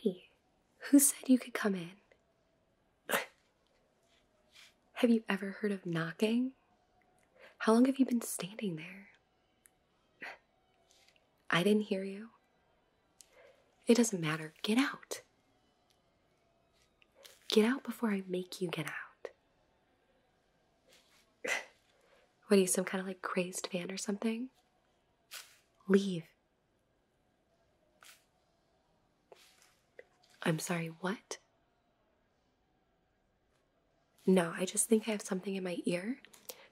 Hey, who said you could come in? have you ever heard of knocking? How long have you been standing there? I didn't hear you. It doesn't matter. Get out. Get out before I make you get out. what are you, some kind of like crazed fan or something? Leave. I'm sorry, what? No, I just think I have something in my ear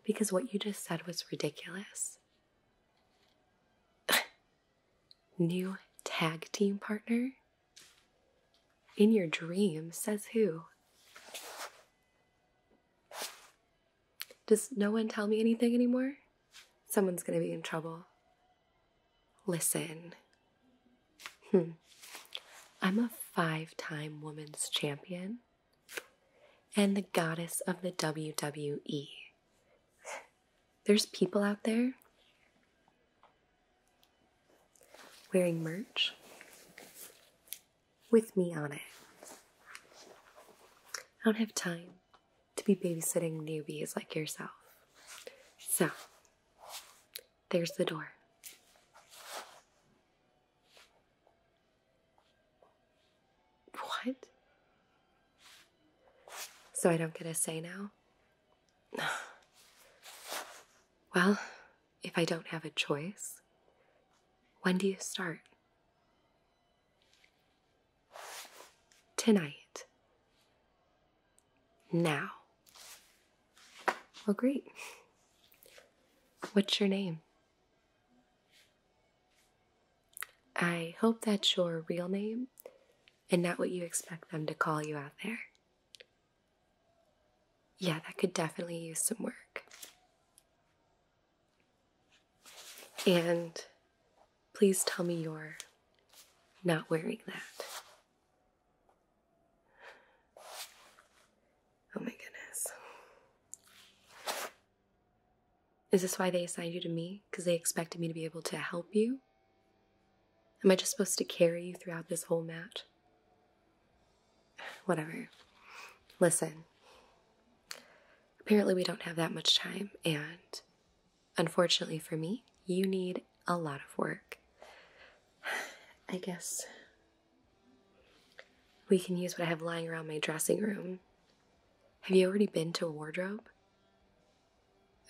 because what you just said was ridiculous. New tag team partner? In your dreams, says who? Does no one tell me anything anymore? Someone's gonna be in trouble. Listen, Hmm. I'm a five time women's champion and the goddess of the WWE. There's people out there wearing merch with me on it. I don't have time to be babysitting newbies like yourself. So, there's the door. What? So I don't get a say now? well, if I don't have a choice, when do you start? Tonight. Now. Well, great. What's your name? I hope that's your real name and not what you expect them to call you out there. Yeah, that could definitely use some work. And please tell me you're not wearing that. Oh my goodness. Is this why they assigned you to me? Because they expected me to be able to help you? Am I just supposed to carry you throughout this whole match? Whatever. Listen. Apparently, we don't have that much time, and unfortunately for me, you need a lot of work. I guess we can use what I have lying around my dressing room. Have you already been to a wardrobe?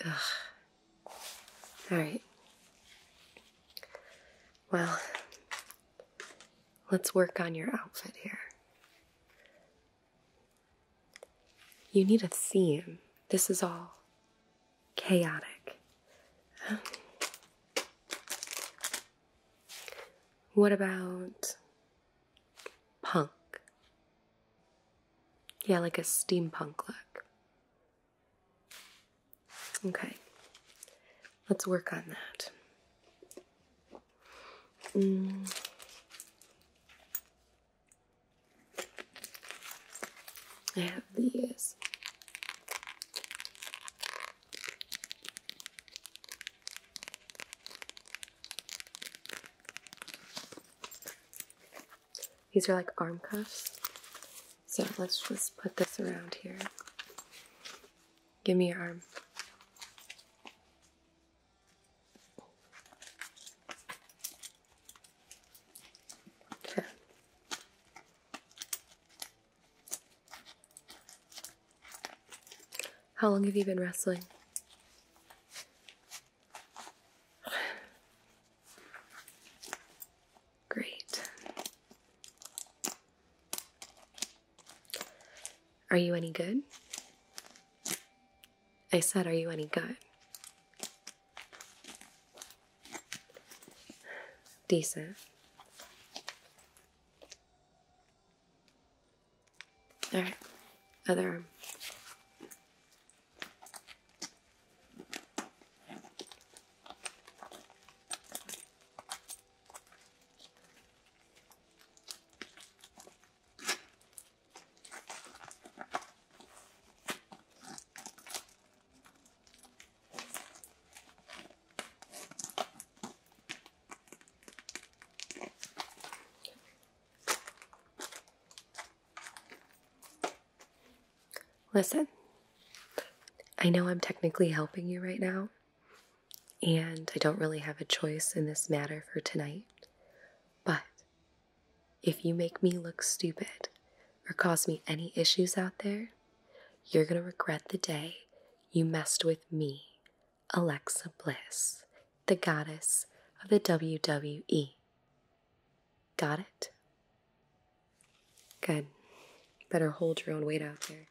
Ugh. Alright. Well, let's work on your outfit here. You need a theme. This is all chaotic what about punk? Yeah, like a steampunk look. Okay, let's work on that. Mm. I have these. These are like arm cuffs. So let's just put this around here. Give me your arm. Okay. How long have you been wrestling? Great. Are you any good? I said, Are you any good? Decent. All right, other Listen, I know I'm technically helping you right now, and I don't really have a choice in this matter for tonight, but if you make me look stupid or cause me any issues out there, you're going to regret the day you messed with me, Alexa Bliss, the goddess of the WWE. Got it? Good. Better hold your own weight out there.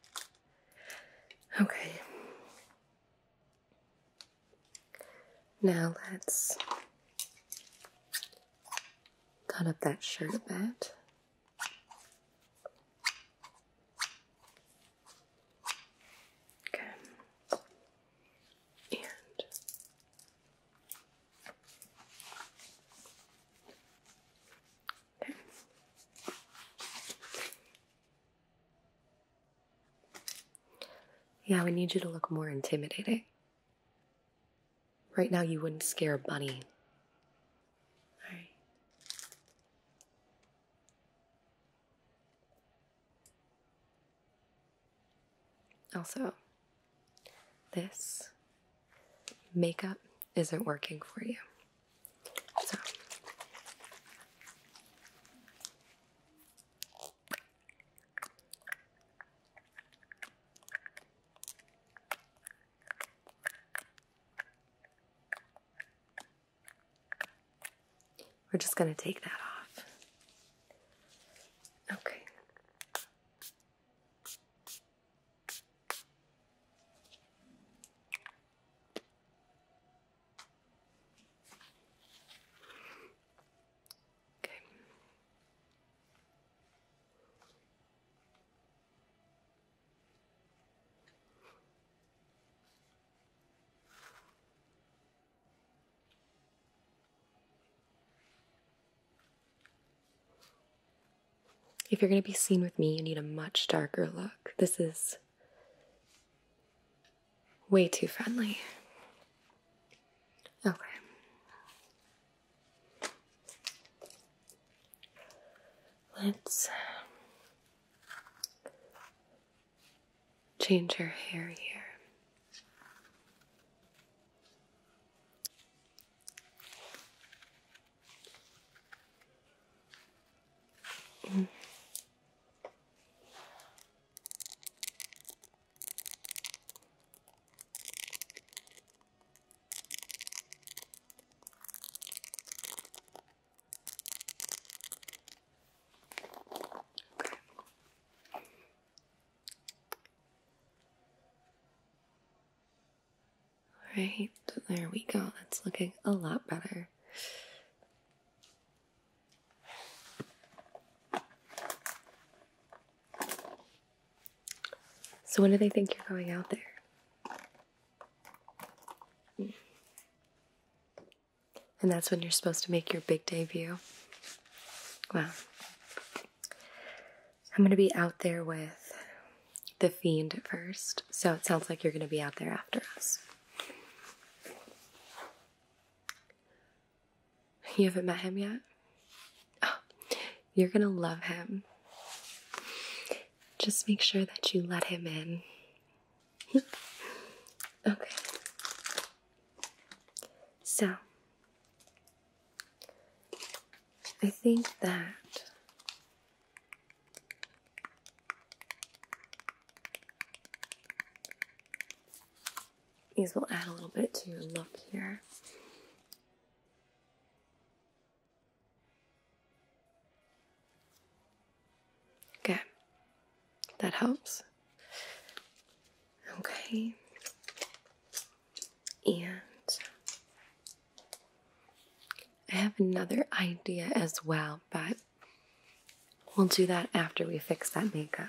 Okay. Now let's cut up that shirt a bit. Okay. And okay. Yeah, we need you to look more intimidating. Right now, you wouldn't scare a bunny. Also, this makeup isn't working for you. We're just going to take that off. Okay. Okay. If you're going to be seen with me, you need a much darker look. This is way too friendly. Okay. Let's um, change your hair here. Alright, there we go. That's looking a lot better. So, when do they think you're going out there? And that's when you're supposed to make your big debut. Wow. I'm going to be out there with the fiend at first, so it sounds like you're going to be out there after us. You haven't met him yet? Oh, you're going to love him. Just make sure that you let him in. okay. So, I think that these will add a little bit to your look here. Okay, that helps. Okay, and I have another idea as well, but we'll do that after we fix that makeup.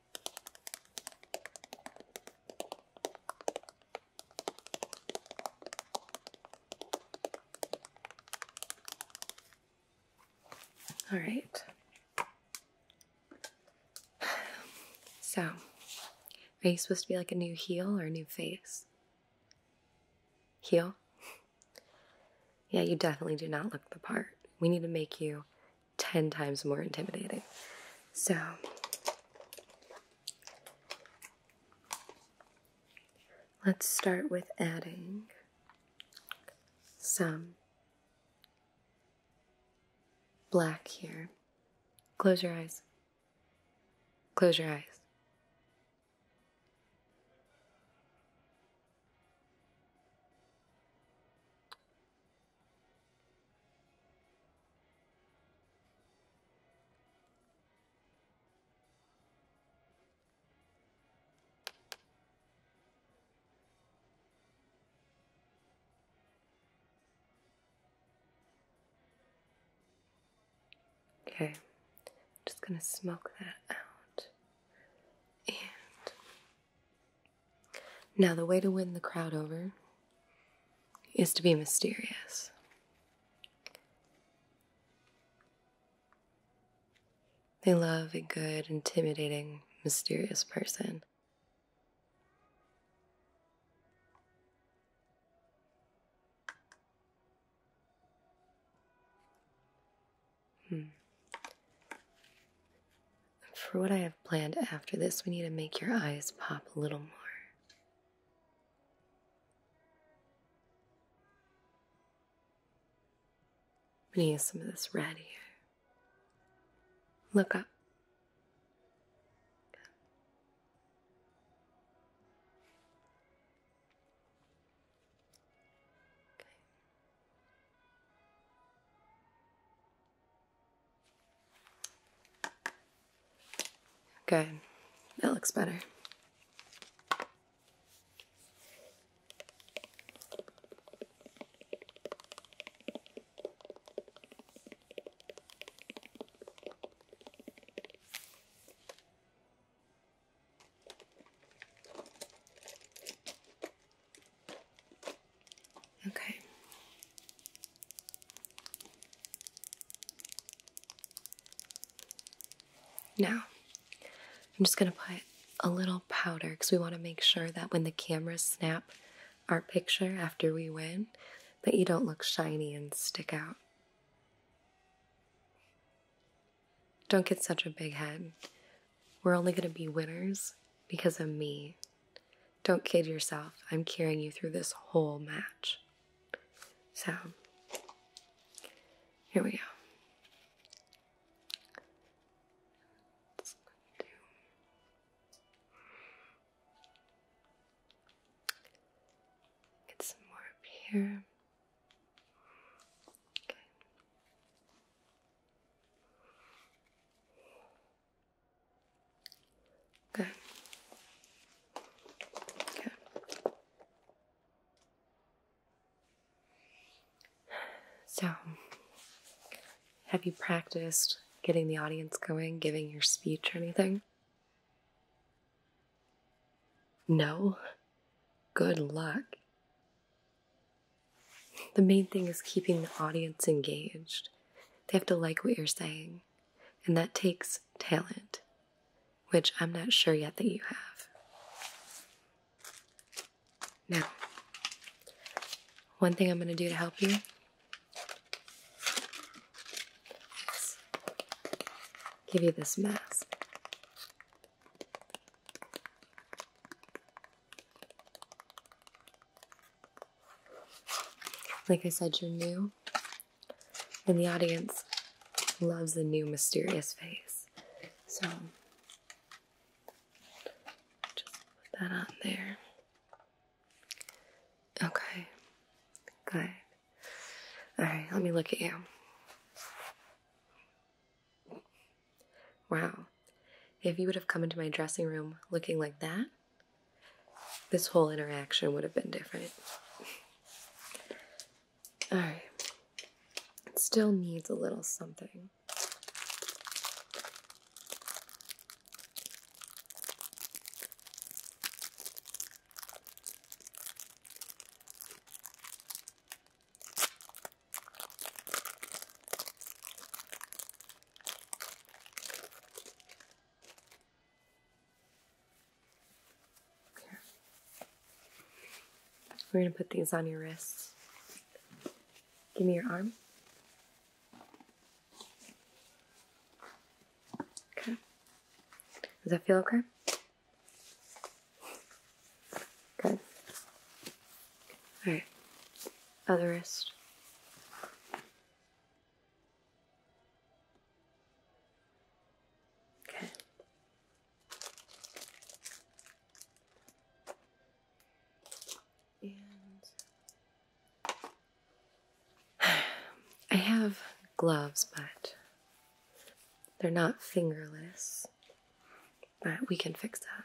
All right. So, are you supposed to be like a new heel or a new face? Heel? Yeah, you definitely do not look the part. We need to make you 10 times more intimidating. So, let's start with adding some black here. Close your eyes. Close your eyes. Okay, I'm just going to smoke that out and now, the way to win the crowd over is to be mysterious. They love a good, intimidating, mysterious person. Hmm. And for what I have planned after this, we need to make your eyes pop a little more. We need to use some of this red here. Look up. Good. That looks better. Okay. Now, I'm just going to put a little powder because we want to make sure that when the cameras snap our picture after we win, that you don't look shiny and stick out. Don't get such a big head. We're only going to be winners because of me. Don't kid yourself. I'm carrying you through this whole match. So, here we go. Get some more up here. Good. Good. So, have you practiced getting the audience going, giving your speech or anything? No? Good luck. The main thing is keeping the audience engaged. They have to like what you're saying, and that takes talent, which I'm not sure yet that you have. Now, one thing I'm going to do to help you give you this mask. Like I said, you're new, and the audience loves a new mysterious face. So just put that on there. Okay, good. All right, let me look at you. Wow. If you would have come into my dressing room looking like that, this whole interaction would have been different. All right. still needs a little something. We're going to put these on your wrists. Give me your arm. Okay. Does that feel okay? Good. Alright. Other wrist. Okay. And I have gloves, but they're not fingerless. But we can fix that.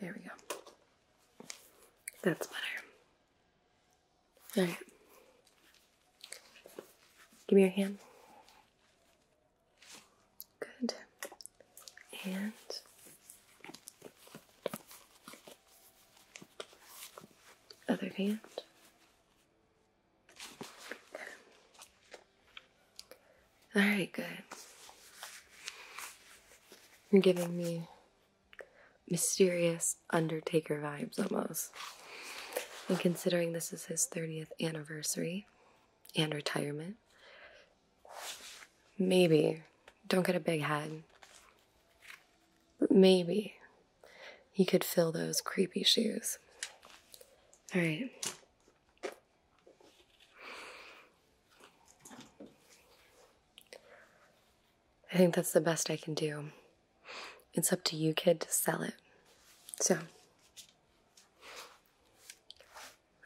There we go. That's better. Alright. Give me your hand. Good. And other hand. All right, good. You're giving me mysterious Undertaker vibes almost. And considering this is his 30th anniversary and retirement, maybe, don't get a big head, but maybe he could fill those creepy shoes. All right. I think that's the best I can do. It's up to you, kid, to sell it. So,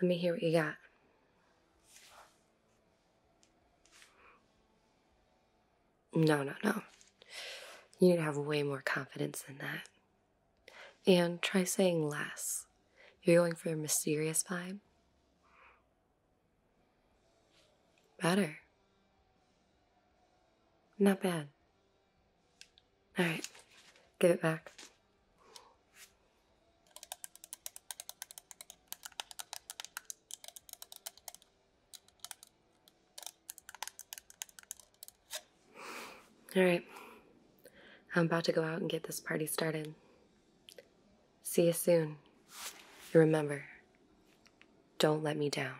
let me hear what you got. No, no, no. You need to have way more confidence than that. And try saying less. You're going for a mysterious vibe. Better. Not bad. All right, give it back. All right. I'm about to go out and get this party started. See you soon. remember, don't let me down.